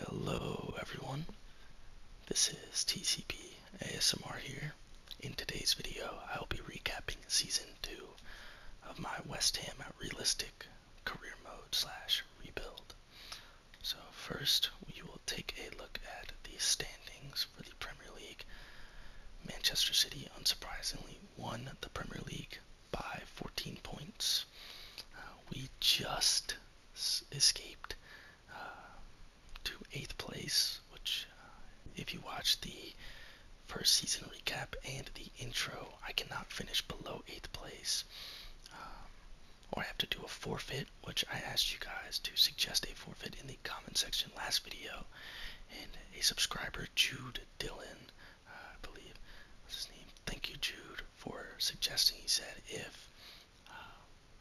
Hello everyone, this is TCP ASMR here. In today's video, I will be recapping Season 2 of my West Ham Realistic Career Mode slash Rebuild. So first, we will take a look at the standings for the Premier League. Manchester City, unsurprisingly, won the Premier League by 14 points. Uh, we just escaped uh, to 8th place, which, uh, if you watch the first season recap and the intro, I cannot finish below 8th place. Um, or I have to do a forfeit, which I asked you guys to suggest a forfeit in the comment section last video. And a subscriber, Jude Dillon, I believe, what's his name? Thank you, Jude, for suggesting. He said, if uh,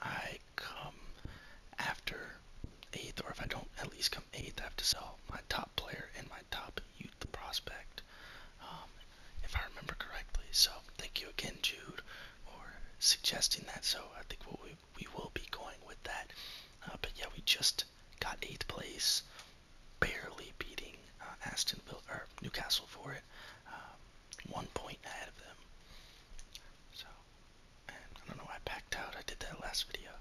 I come after eighth, or if I don't at least come eighth, I have to sell my top player and my top youth prospect, um, if I remember correctly. So thank you again, Jude, for suggesting that. So I think we'll, we will be going with that. Uh, but yeah, we just got eighth place barely beating uh, Aston Villa or Newcastle for it, um, one point ahead of them. So, I don't know. I backed out. I did that last video.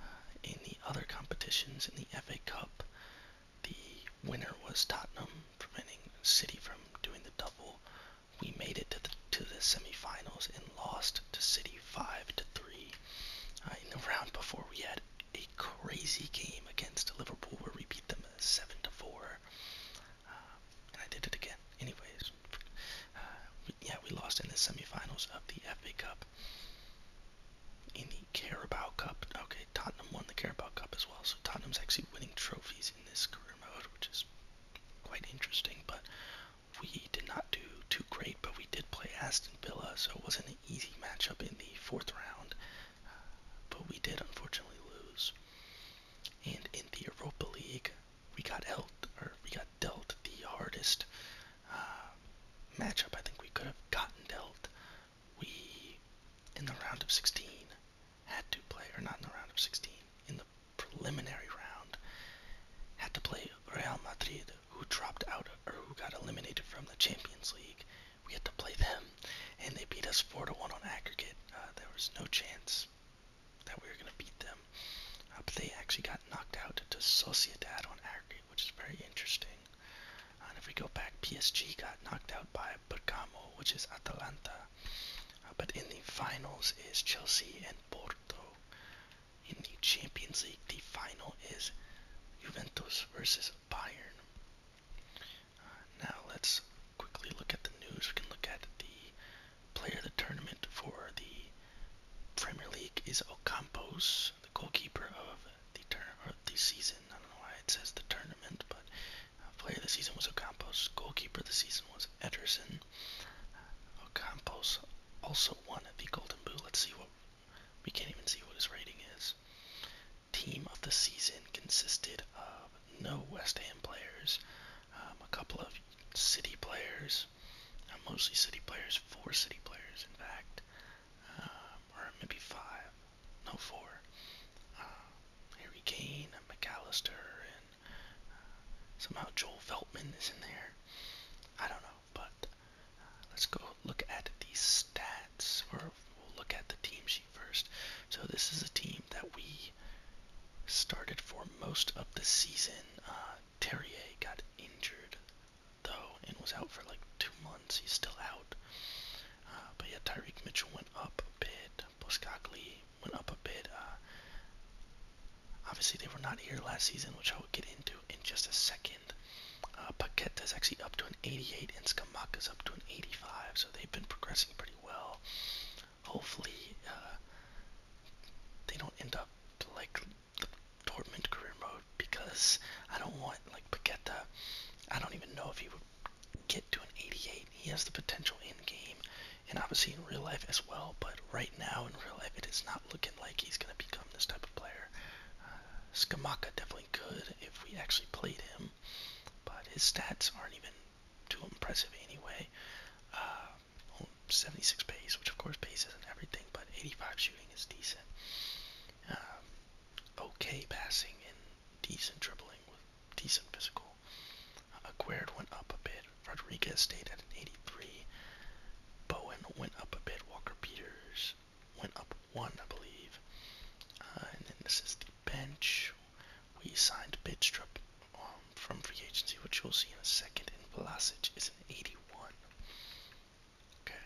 Uh, in the other competitions, in the FA Cup, the winner was Tottenham, preventing City from doing the double. We made it to the to the semifinals and lost to City five to three. Uh, in the round before, we had a a crazy game against Liverpool where we beat them seven to four, uh, and I did it again. Anyways, uh, we, yeah, we lost in the semifinals of the FA Cup. In the Carabao Cup, okay, Tottenham won the Carabao Cup as well, so Tottenham's actually winning trophies in this career mode, which is quite interesting. But we did not do too great, but we did play as so it wasn't an easy matchup in the fourth round. Uh, but we did unfortunately lose. And in the Europa League, we got held, or we got dealt the hardest uh, matchup I think we could have gotten dealt. We, in the round of 16, had to play, or not in the round of 16, in the preliminary round, had to play Real Madrid, who dropped out or who got eliminated from the Champions League, we had to play them, and they beat us four to one on aggregate. Uh, there was no chance that we were going to beat them, uh, but they actually got knocked out to Sociedad on aggregate, which is very interesting. Uh, and if we go back, PSG got knocked out by Bergamo, which is Atalanta. but in the finals is Chelsea and Porto. In the Champions League, the final is Juventus versus Bayern. Uh, now let's quickly look at the news. We can look at the player of the tournament for the Premier League is Ocampos, the goalkeeper of the turn or the season. I don't know why it says the tournament, but uh, player of the season was Ocampos. Goalkeeper of the season was Ederson. Uh, Ocampos also won the Golden Boot. Let's see what we can't even see what his rating is. Team of the season consisted of no West Ham players, um, a couple of City players, uh, mostly City players, four City players, in fact, um, or maybe five, no, four. Uh, Harry Kane, and McAllister, and uh, somehow Joel Feltman is in there. I don't know. But uh, let's go look at the stats, or we'll look at the team sheet first. So this is a team that we started for most of the season. Uh, Terrier got injured though and was out for like two months. He's still out. Uh, but yeah, Tyreek Mitchell went up a bit. Boskakli went up a bit. Uh, obviously, they were not here last season, which I will get into in just a second. Uh, Paqueta is actually up to an 88, and is up to an 85, so they've been progressing pretty well. Hopefully, uh, they don't end up like the Dortmund career mode because I don't want like Paqueta. I don't even know if he would get to an 88. He has the potential in game and obviously in real life as well, but right now in real life it is not looking like he's going to become this type of player. Uh, definitely could if we actually played him, but his stats aren't even too impressive anyway. Uh, 76 pace, which of course pace isn't everything, but 85 shooting is decent. Um, okay passing and decent dribbling with decent physical. Uh, went up a bit. Rodriguez stayed at an 83. Bowen went up a bit. Walker Peters went up one, I believe. Uh, and then this is the bench. We signed Bidstrup um, from free agency, which you'll see in a second. And Velasic is an 81. Okay.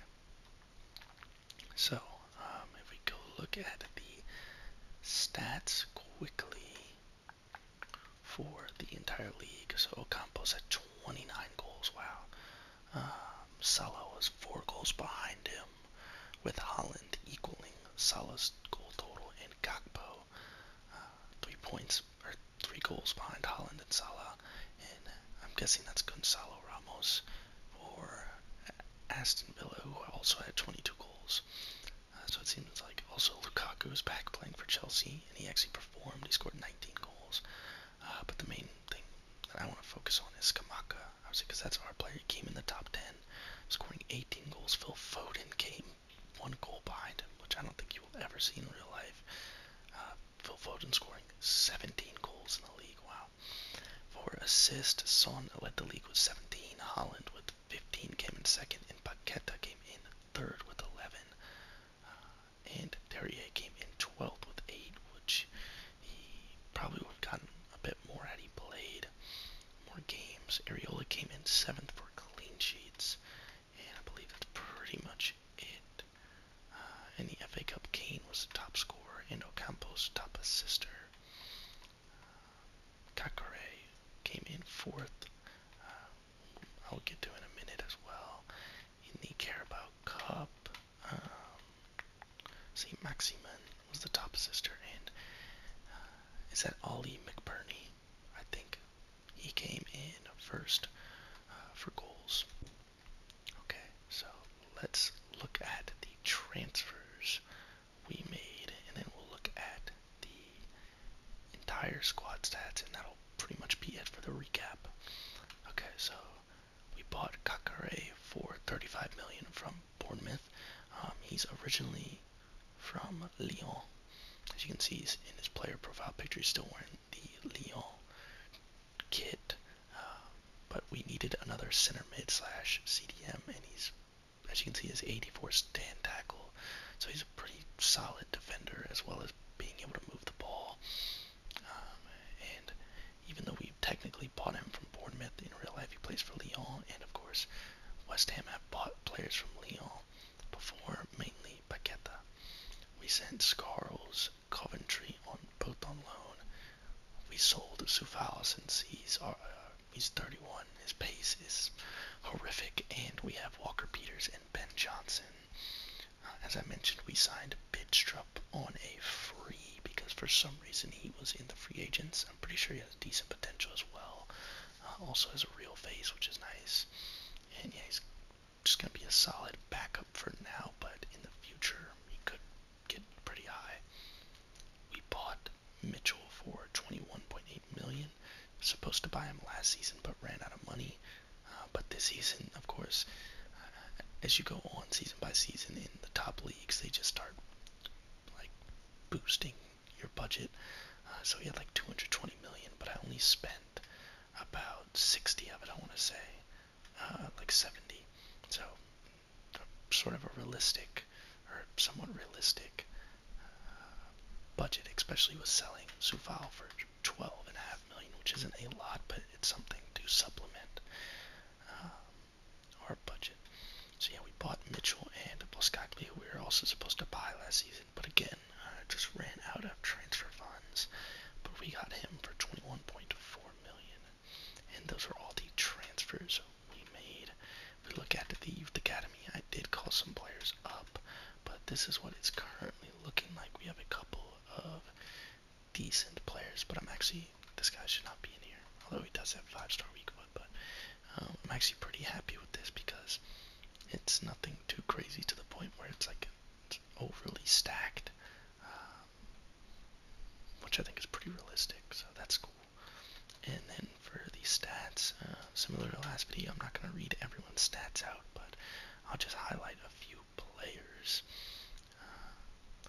So, um, if we go look at the stats quickly, for the entire league. So Ocampos had 29 goals. Wow. Um, Salah was four goals behind him, with Holland equaling Salah's goal total and Gakpo uh, three points or three goals behind Holland and Salah. And I'm guessing that's Gonzalo Ramos or Aston Villa, who also had 22 goals. Uh, so it seems like also Lukaku is back playing for Chelsea he, and he actually performed. He scored 19 goals. Uh, but the main thing that I want to focus on is Kamaka, obviously, because that's our player. He came in the top 10, scoring 18 goals. Phil Foden came one goal behind him, which I don't think you will ever see in real life. Uh, Phil Foden scoring 17 goals in the league. Wow. For assist, Son led the league with 17. Holland with 15 came in second, and Paqueta came in third with 11. Uh, and Terrier came in 12th with 8, which he probably would have gotten a bit more had he played more games. Areola came in 7th for clean sheets, and I believe that's pretty much it. in uh, the FA Cup, Kane was the top scorer, and Ocampo's top assister. Uh, came in 4th. I'll get to in a minute as well. In the Carabao Cup, um, St. Maximin was the top sister, and uh, is that Ollie McBurney? I think he came in first uh, for goals. Okay, so let's look at the transfers we made, and then we'll look at the entire squad stats, and that'll pretty much be it for the recap. Okay, so we bought Kakare for 35 million from Bournemouth. Um, he's originally from Lyon. As you can see, he's in his player profile picture, he's still wearing the Lyon kit. Uh, but we needed another center mid slash CDM, and he's as you can see, his 84 stand tackle. So he's a pretty solid defender as well as being able to move the ball. Um, and even though we have technically bought him from Bournemouth, in real life he plays for Lyon. And of course, West Ham have bought players from Lyon before, mainly Paqueta. We sent Scarles, Coventry on both on loan. We sold Soufals and C's, uh, uh, he's 31. His pace is horrific, and we have Walker Peters and Ben Johnson. Uh, as I mentioned, we signed Bidstrup on a free because for some reason he was in the free agents. I'm pretty sure he has decent potential as well. Uh, also has a real face, which is nice. And yeah, he's just going to be a solid backup for now, but in the future, he could get pretty high. We bought Mitchell for 21.8 million. Supposed to buy him last season, but ran out of money. Uh, but this season, of course, uh, as you go on season by season in the top leagues, they just start like boosting your budget. Uh, so he had like 220 million, but I only spent about 60 of it. I want to say, uh, like 70. So sort of a realistic or somewhat realistic uh, budget, especially with selling Suval for 12.5 million, which isn't a lot, but it's something to supplement um, our budget. So yeah, we bought Mitchell and Boskakli, who we were also supposed to buy last season, but again, uh, just ran out of transfer funds. But we got him for 21.4 million, and those are all the transfers we made. If we look at the Youth Academy, I did call some players up, but this is what it's currently looking like. We have a couple of decent players, but I'm actually, this guy should not be in here, although he does have 5-star weak foot, but um, I'm actually pretty happy with this because it's nothing too crazy to the point where it's like it's overly stacked, um, which I think is pretty realistic, so that's cool. And then for the stats, uh, similar to last video, I'm not going to read everyone's stats out, but I'll just highlight a few players. Uh,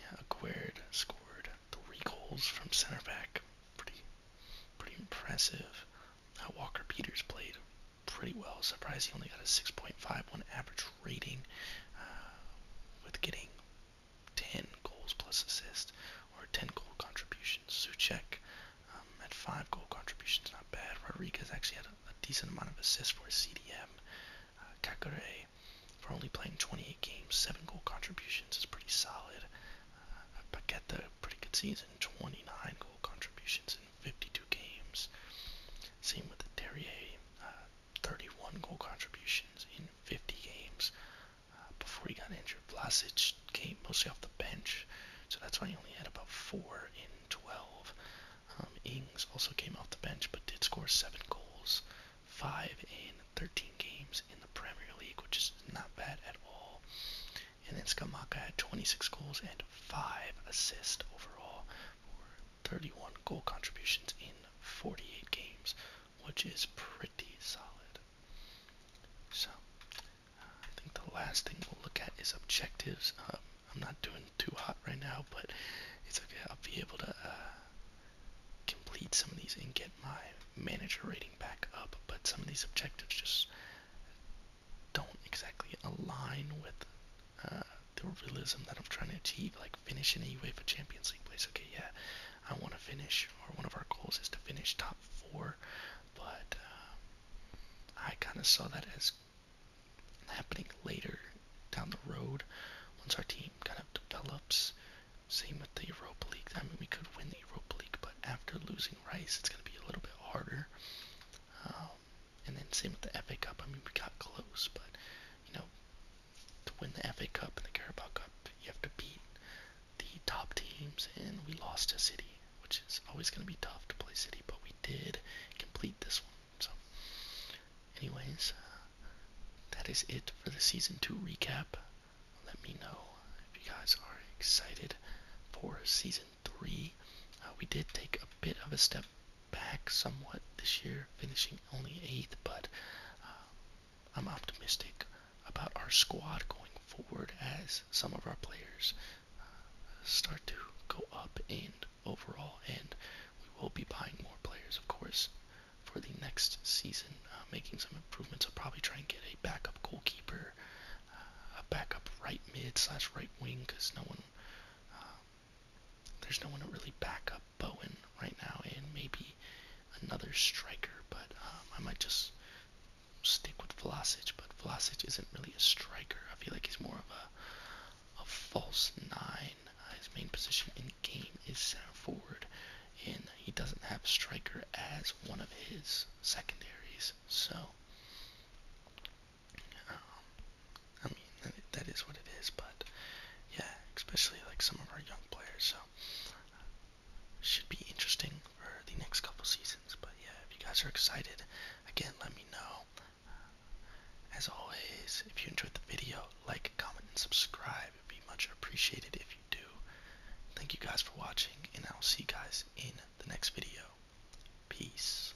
yeah, Aguerd scored three goals from center back. Pretty, pretty impressive. Uh, Walker Peters played pretty well. Surprised he only got a 6.51 average rating with getting 10 goals plus assists or 10 goal contributions. Suchek um, had 5 goal contributions, not bad. Rodriguez actually had a, decent amount of assists for CDM. Uh, Kakure, for only playing 28 games, 7 goal contributions is pretty solid. Uh, Paqueta, pretty good season, 29 goal contributions in 52 games. Same with the Terrier, uh, 31 goal contributions in 50 games. Uh, before he got injured, Vlasic came mostly off the bench, so that's why he only had about four in 12. Um, Ings also came off the bench, but did score seven goals, five in 13 games in the Premier League, which is not bad at all. And then Skamaka had 26 goals and five assists overall for 31 goal contributions in 48 games, which is pretty solid. So, uh, I think the last thing we'll look at is objectives. Um, I'm not doing too hot right now, but it's okay. I'll be able to uh, complete some of these and get my manager rating back up, but some of these objectives just don't exactly align with uh, the realism that I'm trying to achieve, like finishing a UEFA Champions League place. Okay, yeah, I want to finish, or one of our goals is to finish top four, but um, I kind of saw that as happening later down the road once our team kind of develops. Same with the Europa League. I mean, we could win the Europa League, but after losing Rice, it's going to be a little bit harder. Um, and then same with the FA Cup. I mean, we got close, but you know, to win the FA Cup and the Carabao Cup, you have to beat the top teams, and we lost to City, which is always going to be tough to play City, but we did complete this one. So, anyways, that is it for the season two recap. Let me know if you guys are excited for season three. Uh, we did take a bit of a step back somewhat this year, finishing only eighth, but um, I'm optimistic about our squad going forward as some of our players uh, start to go up in overall, and we will be buying more players, of course, for the next season, uh, making some improvements. I'll probably try and get a backup goalkeeper, uh, a backup right mid slash right wing, because no one um, there's no one to really back up Bowen right now, and maybe another striker, but um, I might just stick with Velasquez. But Velasquez isn't really a striker. I feel like he's more of a a false nine. Uh, his main position in game is center forward, and he doesn't have striker as one of his secondaries. So. Um, I mean, that is what it is, but yeah, especially like some of our young players, so uh, should be interesting for the next couple seasons. But yeah, if you guys are excited, again, let me know. Uh, as always, if you enjoyed the video, like, comment, and subscribe. It would be much appreciated if you do. Thank you guys for watching, and I'll see you guys in the next video. Peace.